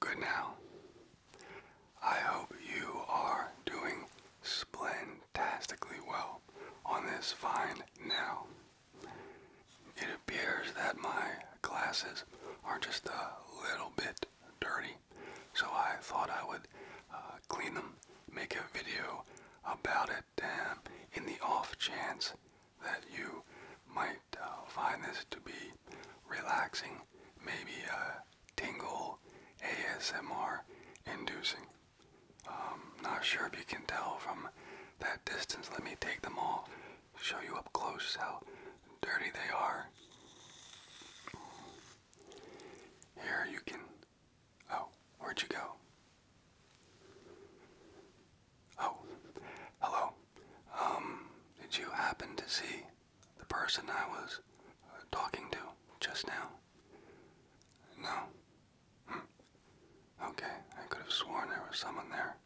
Good now. I hope you are doing splendastically well on this fine now. It appears that my glasses are just a little bit dirty, so I thought I would uh, clean them, make a video about it, um, in the off chance that you might uh, find this to be relaxing, maybe uh, a tingle ASMR inducing. Um, not sure if you can tell from that distance. Let me take them all, show you up close how dirty they are. Here you can. Oh, where'd you go? Oh, hello. Um, did you happen to see the person I was uh, talking to just now? No? Hmm. Okay, I could have sworn there was someone there.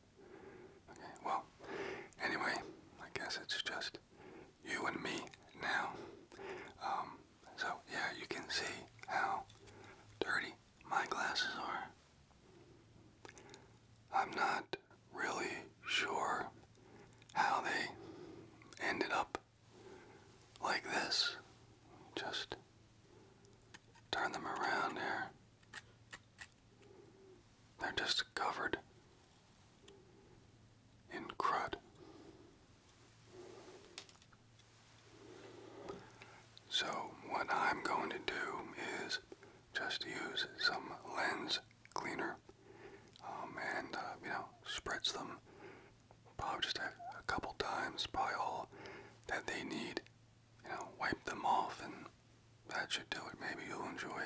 Okay, well, anyway, I guess it's just you and me now. Um, so yeah, you can see how dirty my glasses are. I'm not really sure how they ended up like this. Just turn them around here. They're just covered in crud. So, what I'm going to do is just use some lens cleaner um, and, uh, you know, spreads them probably just a, couple times, probably all that they need. You know, wipe them off and that should do it. Maybe you'll enjoy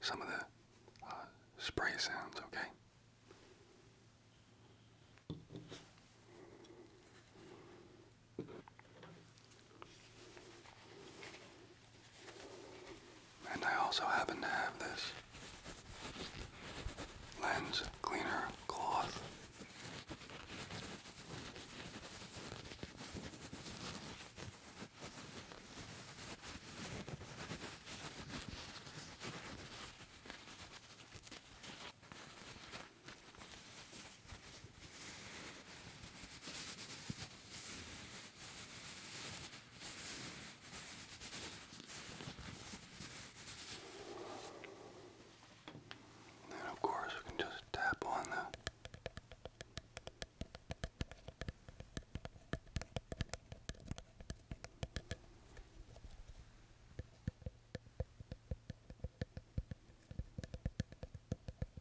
some of the uh, spray sounds, okay? And I also happen to have this lens cleaner cloth. Then, of course, we can just tap on the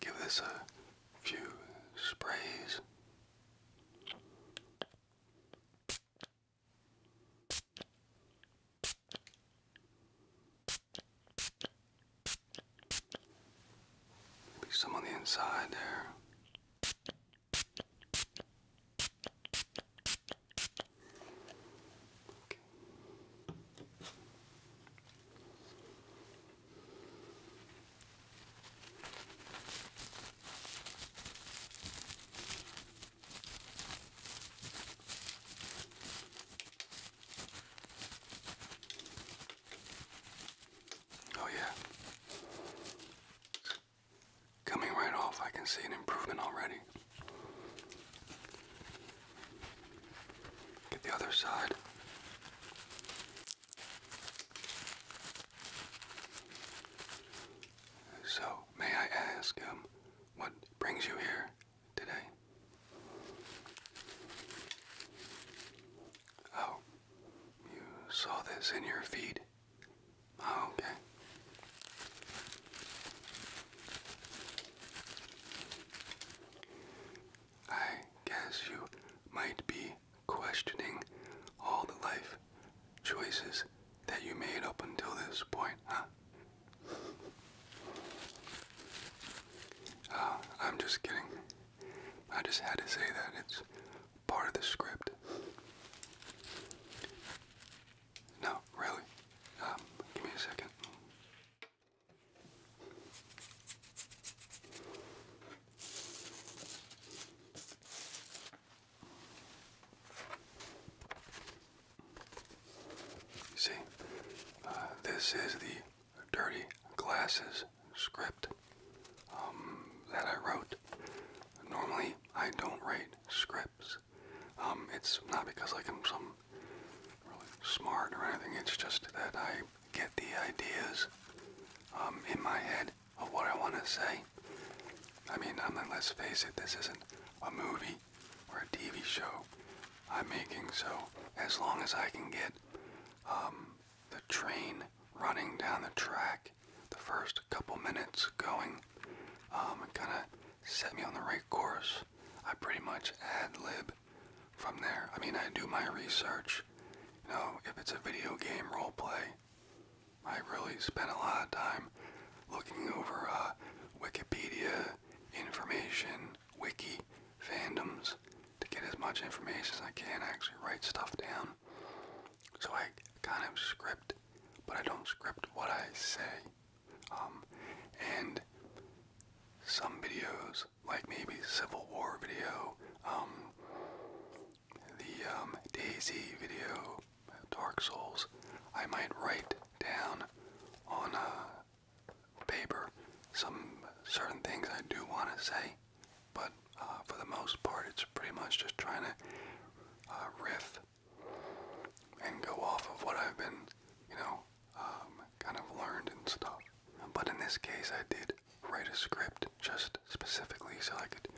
Give this a few sprays. Maybe some on the inside there. Okay. Oh, yeah. Coming right off, I can see an improvement already. Get the other side. So, may I ask, um, what brings you here today? Oh, you saw this in your feed? Oh, okay. I guess you might be questioning all the life choices that you made up until this point, huh? Uh, I'm just kidding. I just had to say that. It's part of the script. No, really. Um, give me a second. See, uh, this is the Dirty Glasses script um, that I wrote. Normally, I don't write scripts. Um, it's not because I'm some really smart or anything. It's just that I get the ideas um, in my head of what I want to say. I mean, I mean, let's face it, this isn't a movie or a TV show I'm making. So as long as I can get um, the train running down the track the first couple minutes going um, kind of set me on the right course. I pretty much ad lib from there. I mean, I do my research. You know, if it's a video game role play, I really spend a lot of time looking over uh, Wikipedia information, wiki fandoms to get as much information as I can. actually write stuff down. So I kind of script, but I don't script what I say. Um, and some videos, like maybe Civil War video, um, the um, Daisy video, Dark Souls, I might write down on a paper some certain things I do want to say, but uh, for the most part, it's pretty much just trying to uh, riff and go off of what I've been, you know, um, kind of learned and stuff. But in this case, I did write a script just specifically so I could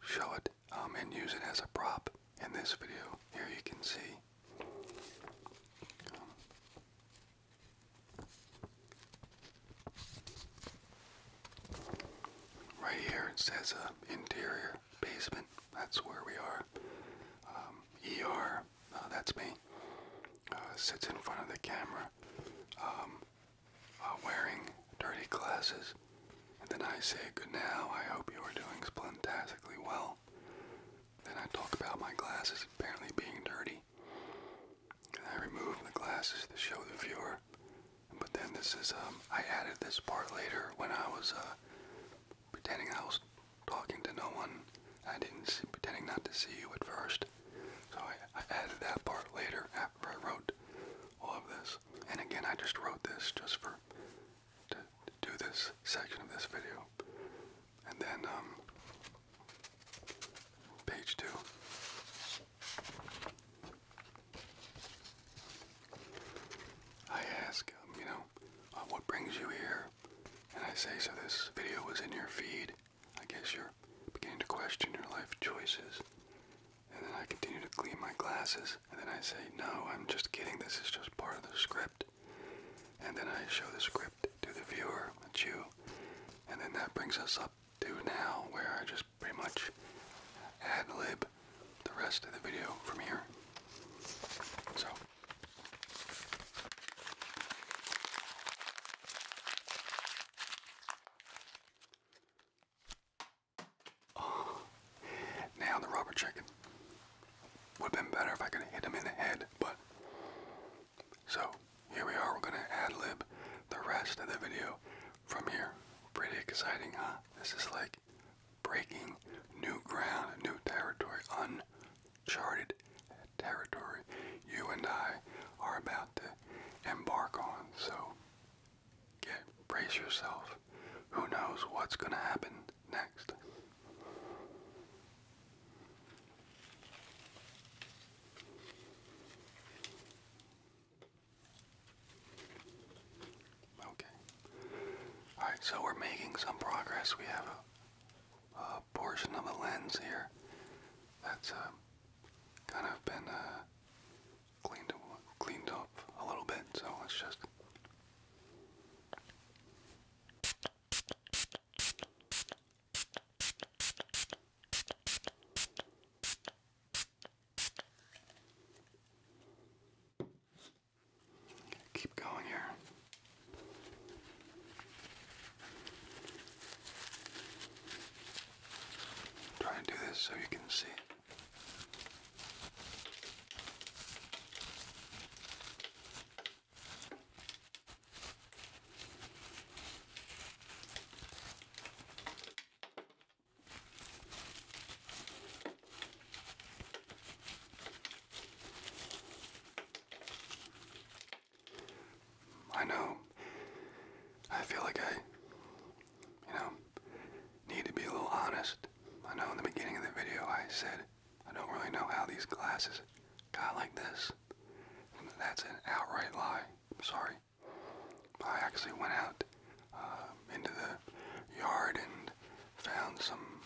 show it um, and use it as a prop in this video. Here you can see. Um, Right here it says uh, interior basement. That's where we are. ER, uh, that's me. Uh, sits in front of the camera, um, uh, wearing dirty glasses, and then I say good now. I hope you are doing splentastically well. Then I talk about my glasses apparently being dirty. And I remove the glasses to show the viewer but then this is, um, I added this part later when I was uh, pretending I was talking to no one. I didn't see, pretending not to see you at first. So I, added that part later after I wrote all of this. And again, I just wrote this just for, to, do this section of this video. And then, um, page two. I ask, um, you know, uh, what brings you here? And I say, so this video was in your feed. I guess you're beginning to question your life choices. And then I continue to clean my glasses. And then I say, no, I'm just kidding. This is just part of the script. And then I show the script to the viewer, that's you. And then that brings us up to now, where I just pretty much ad lib the rest of the video from here. So. Oh, now the rubber chicken. Would have been better if I could hit him in the head, but. So, here we are. We're going to ad lib the rest of the video from here. Pretty exciting, huh? This is like breaking new ground, new territory, uncharted territory you and I are about to embark on. So get brace yourself. Who knows what's going to happen next? Okay. Alright, so we're making some progress. We have a, portion of the lens here that's uh, kind of been uh, cleaned, cleaned up a little bit, so let's just. Keep going here. Try and do this so you can see it. I know. I feel like I, you know, need to be a little honest. I know in the beginning of the video I said I don't really know how these glasses got like this. That's an outright lie. I'm sorry. I actually went out uh, into the yard and found some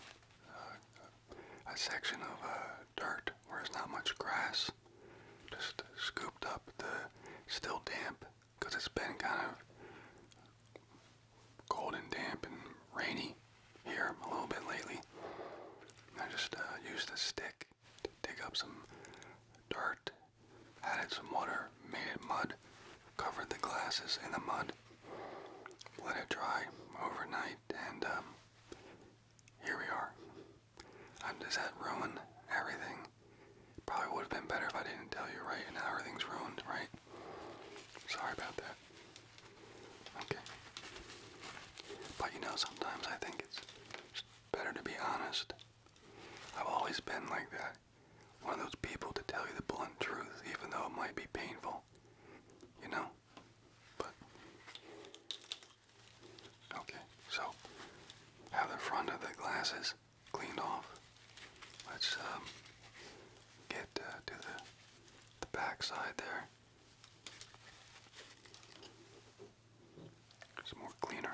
uh, a section of uh, dirt where there's not much grass. Just scooped up the still damp because it's been kind of cold and damp and rainy here a little bit lately. I just used a stick to dig up some dirt added some water, made it mud, covered the glasses in the mud, let it dry overnight, and um, here we are. Um, just that ruin everything? Probably would have been better if I didn't tell you, right? now everything's ruined, right? Sorry about that. Okay. But you know, sometimes I think it's better to be honest I've always been like that. One of those people to tell you the blunt truth, even though it might be painful. You know? But. Okay, so have the front of the glasses cleaned off. Let's um, get uh, to the, the back side there. It's more cleaner.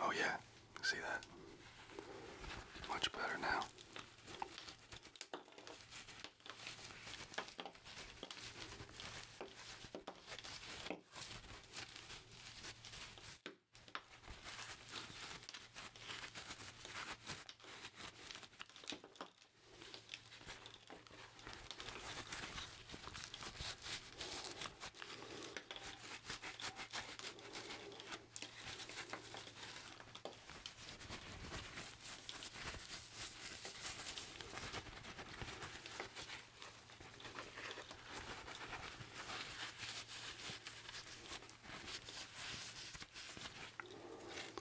Oh, yeah, see that? Much better now.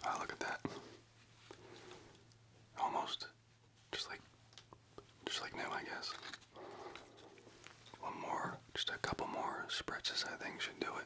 Ah, look at that. Almost just like just like new, I guess. One more, just a couple more spritzes I think should do it.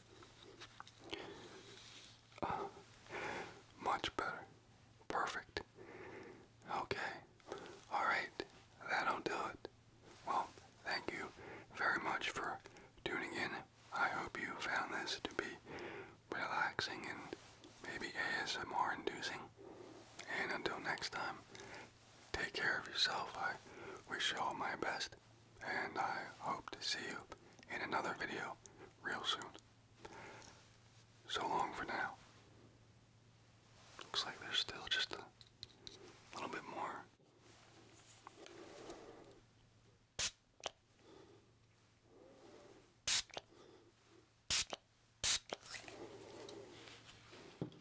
much better. Perfect. Okay. Alright. That'll do it. Well, thank you very much for tuning in. I hope you found this to be relaxing and maybe ASMR inducing. And until next time, take care of yourself. I wish you all my best and I hope to see you in another video real soon. So long for now. Looks like there's still just a little bit more.